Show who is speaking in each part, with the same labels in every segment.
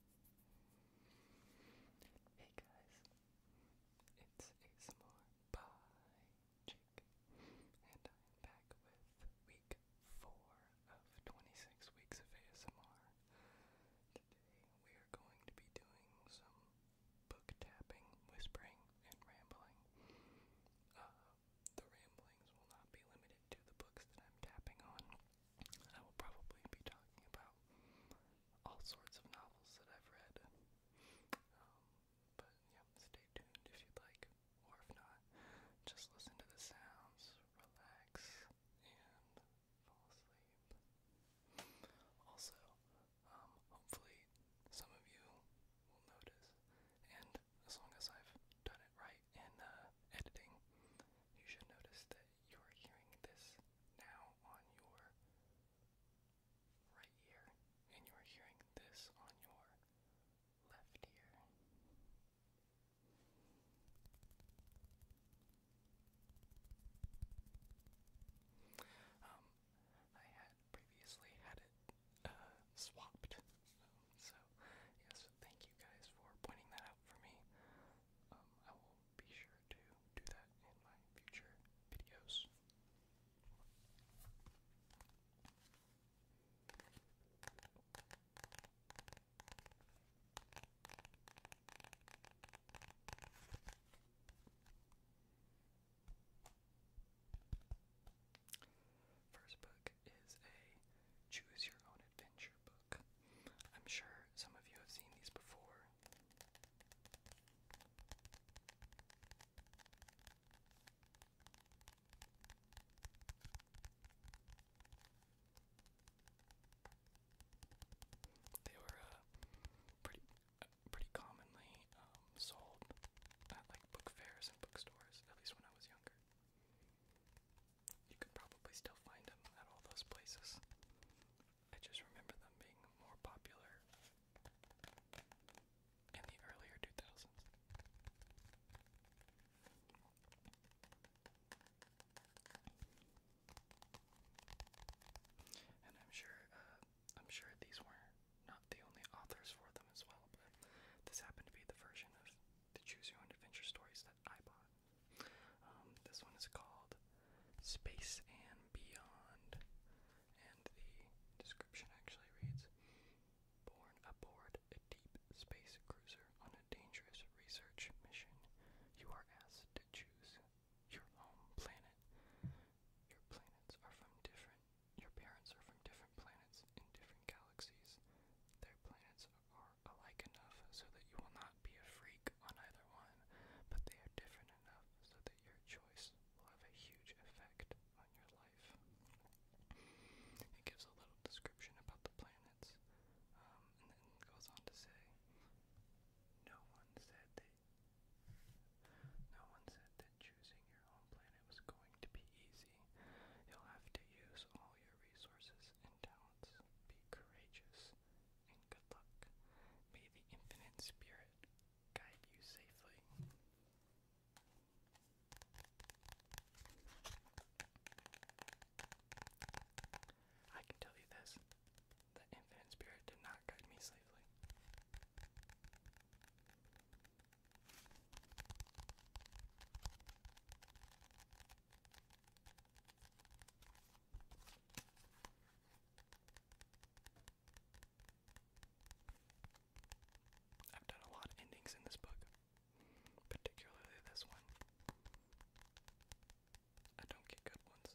Speaker 1: Hey guys, it's ASMR by Jake, and I'm back with week 4 of 26 weeks of ASMR. Today we are going to be doing some book tapping, whispering, and rambling. Uh, the ramblings will not be limited to the books that I'm tapping on. I will probably be talking about all sorts of novels that I've read. Um, but yeah, stay tuned if you'd like, or if not, just listen to the sounds, relax, and fall asleep. Also, um, hopefully, some of you will notice, and as long as I've done it right in uh, editing, you should notice that you are hearing this now on your right ear, and you are hearing this on your left ear. Um, I had previously had it uh, swapped, um, so yes, thank you guys for pointing that out for me. Um, I will be sure to do that in my future videos. First book is a choose your own adventure book. I'm sure some of you have seen these before. They were uh, pretty uh, pretty commonly um, sold at like book fairs and bookstores, at least when I was younger. You could probably still find them at all those places. I just remember them being more popular in the earlier 2000s. And I'm sure, uh, I'm sure these were not the only authors for them as well, but this happened to be the version of the Choose Your Own Adventure stories that I bought. Um, this one is called Space and Beyond, and the description actually reads Born aboard a deep space cruiser on a dangerous research mission, you are asked to choose your home planet. Your planets are from different, your parents are from different planets in different galaxies. Their planets are alike enough so that you will not be a freak on either one, but they are different enough so that your choice will have a huge effect on your life. It gives a little description about the planets, um, and then goes on to say, no one said that. No one said that choosing your home planet was going to be easy. You'll have to use all your resources and talents. Be courageous and good luck. May the infinite spirit guide you safely. I can tell you this the infinite spirit did not guide me safely. I've done a lot of endings in this book, particularly this one. I don't get good ones.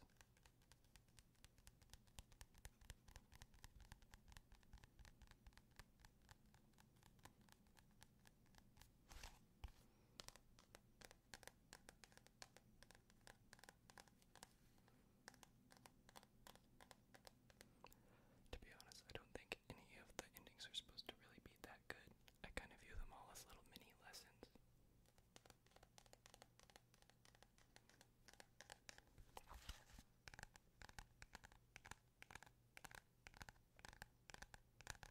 Speaker 1: To be honest, I don't think any of the endings are supposed to really be that good. I kind of view them all as little mini lessons.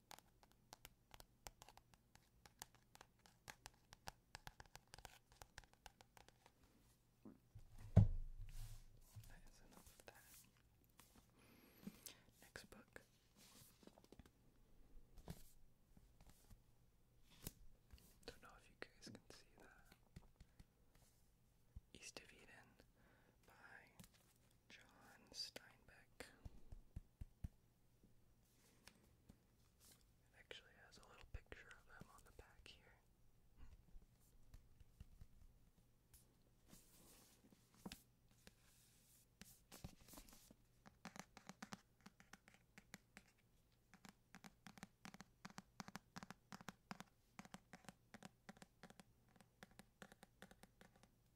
Speaker 1: That is enough of that. Next book. Don't know if you guys can see that. East of Eden by John Steinbeck. It actually has a little picture of them on the back here.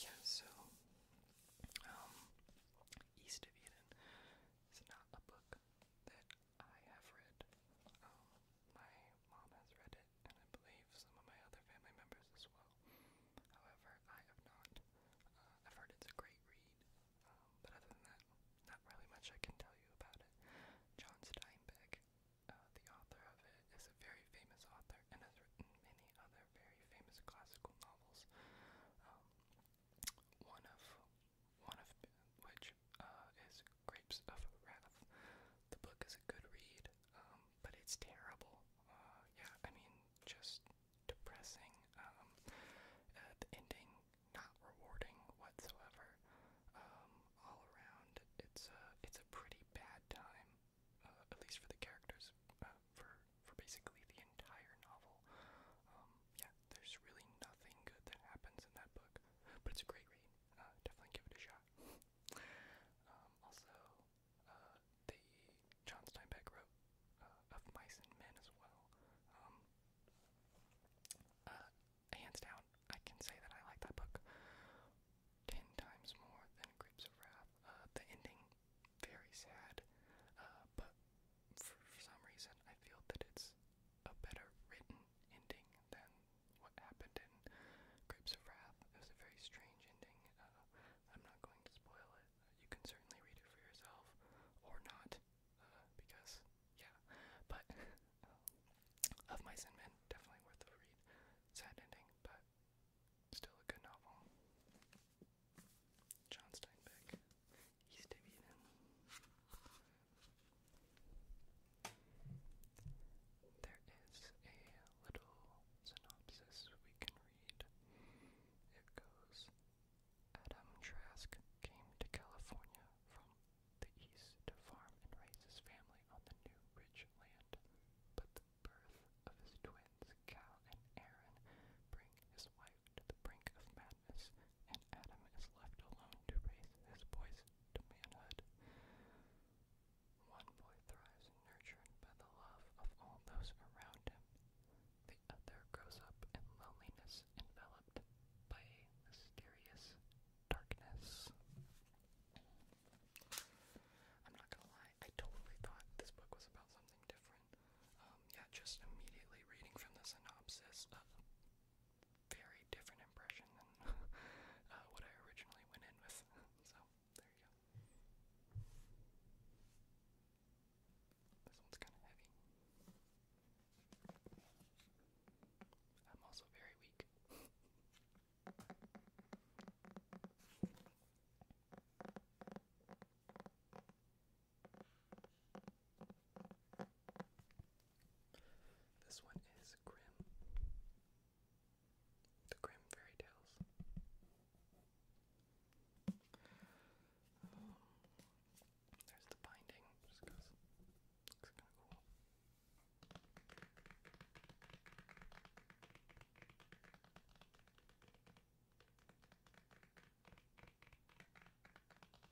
Speaker 1: Yeah, so um, East of Eden is not a book that I have read. Um, my mom has read it, and I believe some of my other family members as well. However, I have not. Uh, I've heard it's a great read, um, but other than that, not really much I can tell you about it. John Steinbeck, uh, the author of it, is a very famous author and has written many other very famous classical novels. Um, one of one of which uh, is Grapes of Wrath. The book is a good read, um, but it's terrible. Uh, yeah, I mean, just depressing. Um, uh, the ending not rewarding whatsoever. Um, all around, it's a it's a pretty bad time, uh, at least for the characters. Uh, for for basically the entire novel, um, yeah, there's really nothing good that happens in that book, but it's a great read. Uh, definitely give it a shot. Um, also, uh, the John Steinbeck wrote uh, Of Mice and Men as well. Um, hands down, I can say that I like that book ten times more than Grapes of Wrath. the ending, very sad, but for some reason, I feel that it's a better written ending than what happened in Grapes of Wrath. It was a very strange ending. Uh, I'm not going to spoil it. you can certainly read it for yourself, or not, uh, because, yeah. But, Of Mice Men, definitely worth a read. Sad ending, but still a good novel. John Steinbeck, East Avian. There is a little synopsis we can read. It goes Adam Trask came to California from the east to farm and raise his family on the new rich land, but the birth of his twins, Cal and Aaron, bring his wife to the brink of madness and Adam is left alone to raise his boys to manhood. One boy thrives nurtured by the love of all those around him. The other grows up in loneliness enveloped by a mysterious darkness. I'm not gonna lie, I totally thought this book was about something different. Um, yeah, just immediately reading from the synopsis, uh, very different impression than uh, what I originally went in with. so there you go. This one's kind of heavy. I'm also very weak. This one is grim. The Grimm Fairy Tales. Oh, there's the binding, just goes looks kinda cool.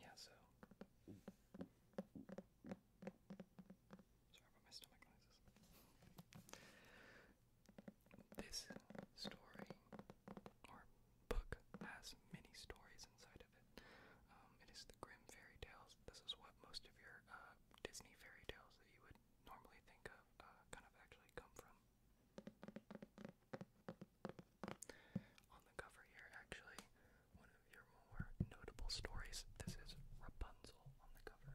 Speaker 1: Yeah, so. Sorry about my stomach noises. This story, or book, has many stories inside of it. Um, it is the Grim Fairy Tales. This is what most of your uh, Disney fairy tales that you would normally think of uh, kind of actually come from. On the cover here, actually, one of your more notable stories. This is Rapunzel on the cover.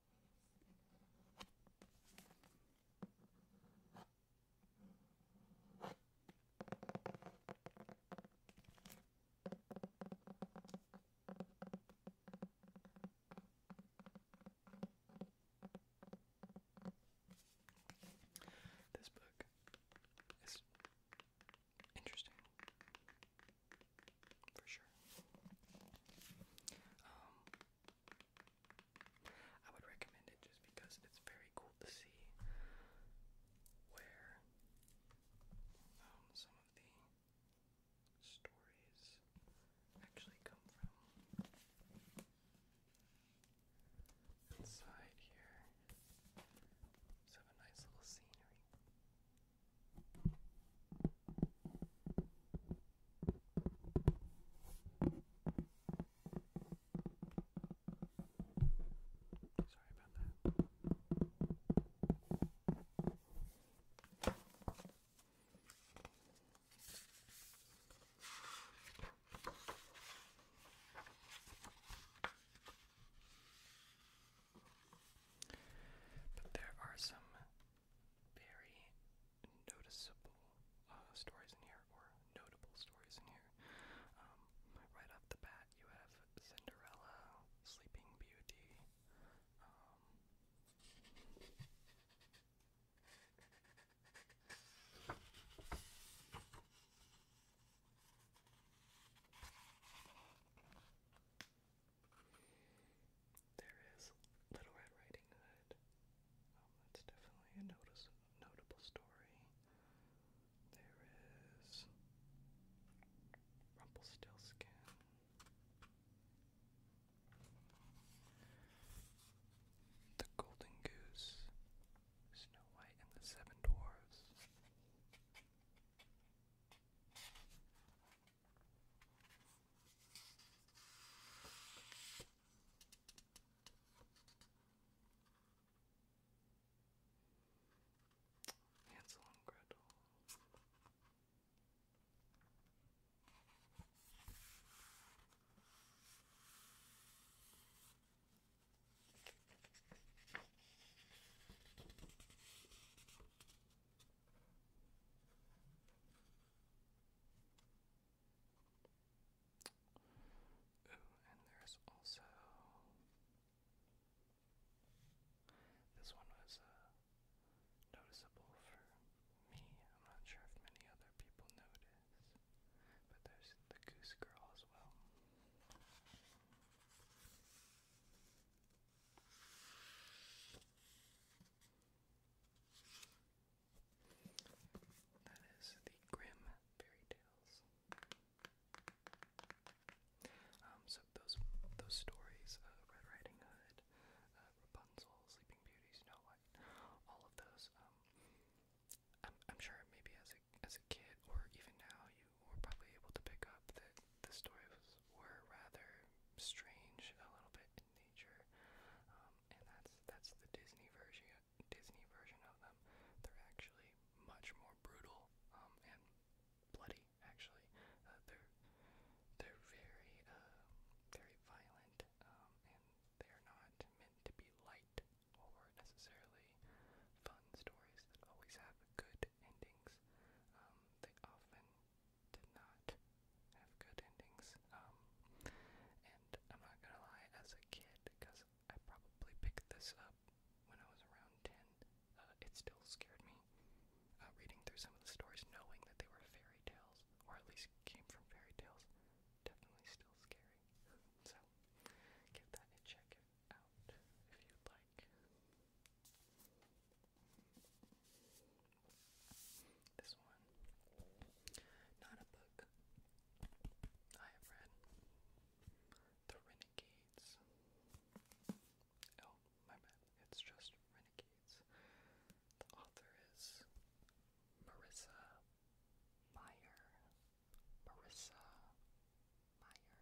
Speaker 1: This book is interesting for sure. Um, I would recommend it just because it's very cool to see where um, some of the stories actually come from. Inside here, let's have a nice little scenery. Sorry about that. But there are some very noticeable uh, stories in here, or notable stories in here. Um, right off the bat, you have Cinderella, Sleeping Beauty. Um, there is Little Red Riding Hood. Um, that's definitely a notice notable story. There is Rumpelstiltskin. The Golden Goose, Snow White and the Seven Dwarfs. Hansel and Gretel and there's also this one was uh, noticeable for me. I'm not sure if many other people notice, but there's the Goose Girl as well. That is the Grim Fairy Tales. Um, so those those stories, Red Riding Hood, uh, Rapunzel, Sleeping Beauty, Snow White, all of those. Um, I'm sure maybe as a as a kid or even now you were probably able to pick up that the stories were rather strange, a little bit nature, um, and that's that's the Disney version Disney version of them. They're actually much more brutal um, and bloody. Actually, uh, they're they're very uh, very violent, um, and they are not meant to be light or necessarily fun stories that always have good endings. Um, they often did not have good endings. Um, and I'm not gonna lie, as a kid, because I probably picked this up when I was around 10, uh, it still scared me. Uh, reading through some of the stories, knowing that they were fairy tales, or at least came from fairy tales, definitely still scary. So, give that a check out if you'd like. This one, not a book I have read. The Renegades. Oh, my bad. It's just Renegades. The author is Marissa Meyer. Marissa Meyer.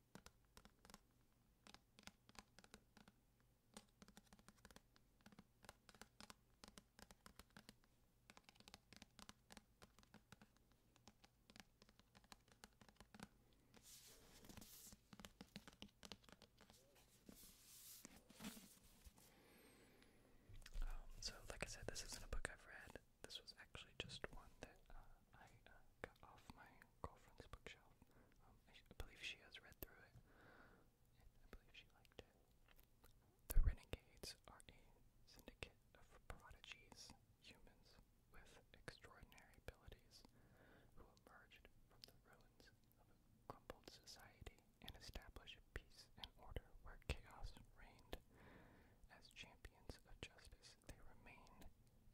Speaker 1: Um, so, like I said, this isn't a book I've read. This was actually just one that uh, I uh, got off my girlfriend's bookshelf. Um, I, believe she has read through it, I believe she liked it. The Renegades are a syndicate of prodigies, humans with extraordinary abilities, who emerged from the ruins of a crumbled society and established peace and order where chaos reigned. As champions of justice, they remain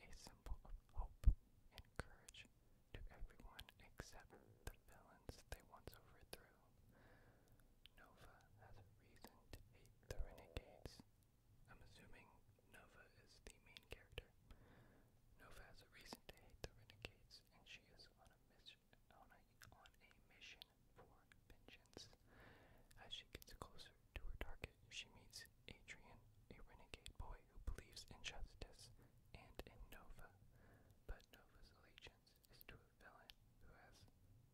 Speaker 1: a symbol of hope and courage to everyone except the villains they once overthrew. Nova has a reason to hate the renegades. I'm assuming Nova is the main character. Nova has a reason to hate the renegades, and she is on a mission on a, on a mission for vengeance. As she gets closer to her target, she meets Adrian, a renegade boy who believes in justice and in Nova, but Nova's allegiance is to a villain who has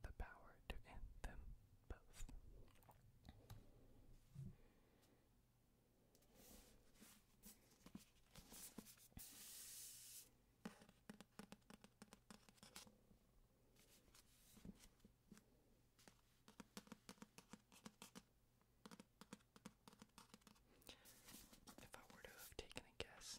Speaker 1: the power to end them both. If I were to have taken a guess,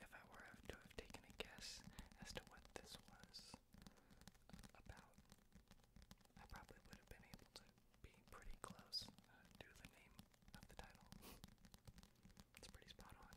Speaker 1: if I were to have taken a guess as to what this was about, I probably would have been able to be pretty close uh, to the name of the title. it's pretty spot on.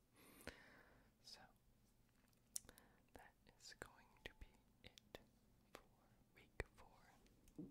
Speaker 1: me. So, that is going to be it for week four.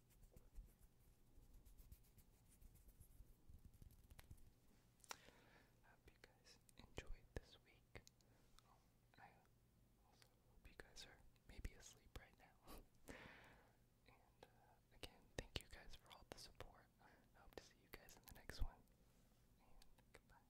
Speaker 1: hope you guys enjoyed this week. Oh, I also hope you guys are maybe asleep right now. and uh, again, thank you guys for all the support. hope to see you guys in the next one. And goodbye.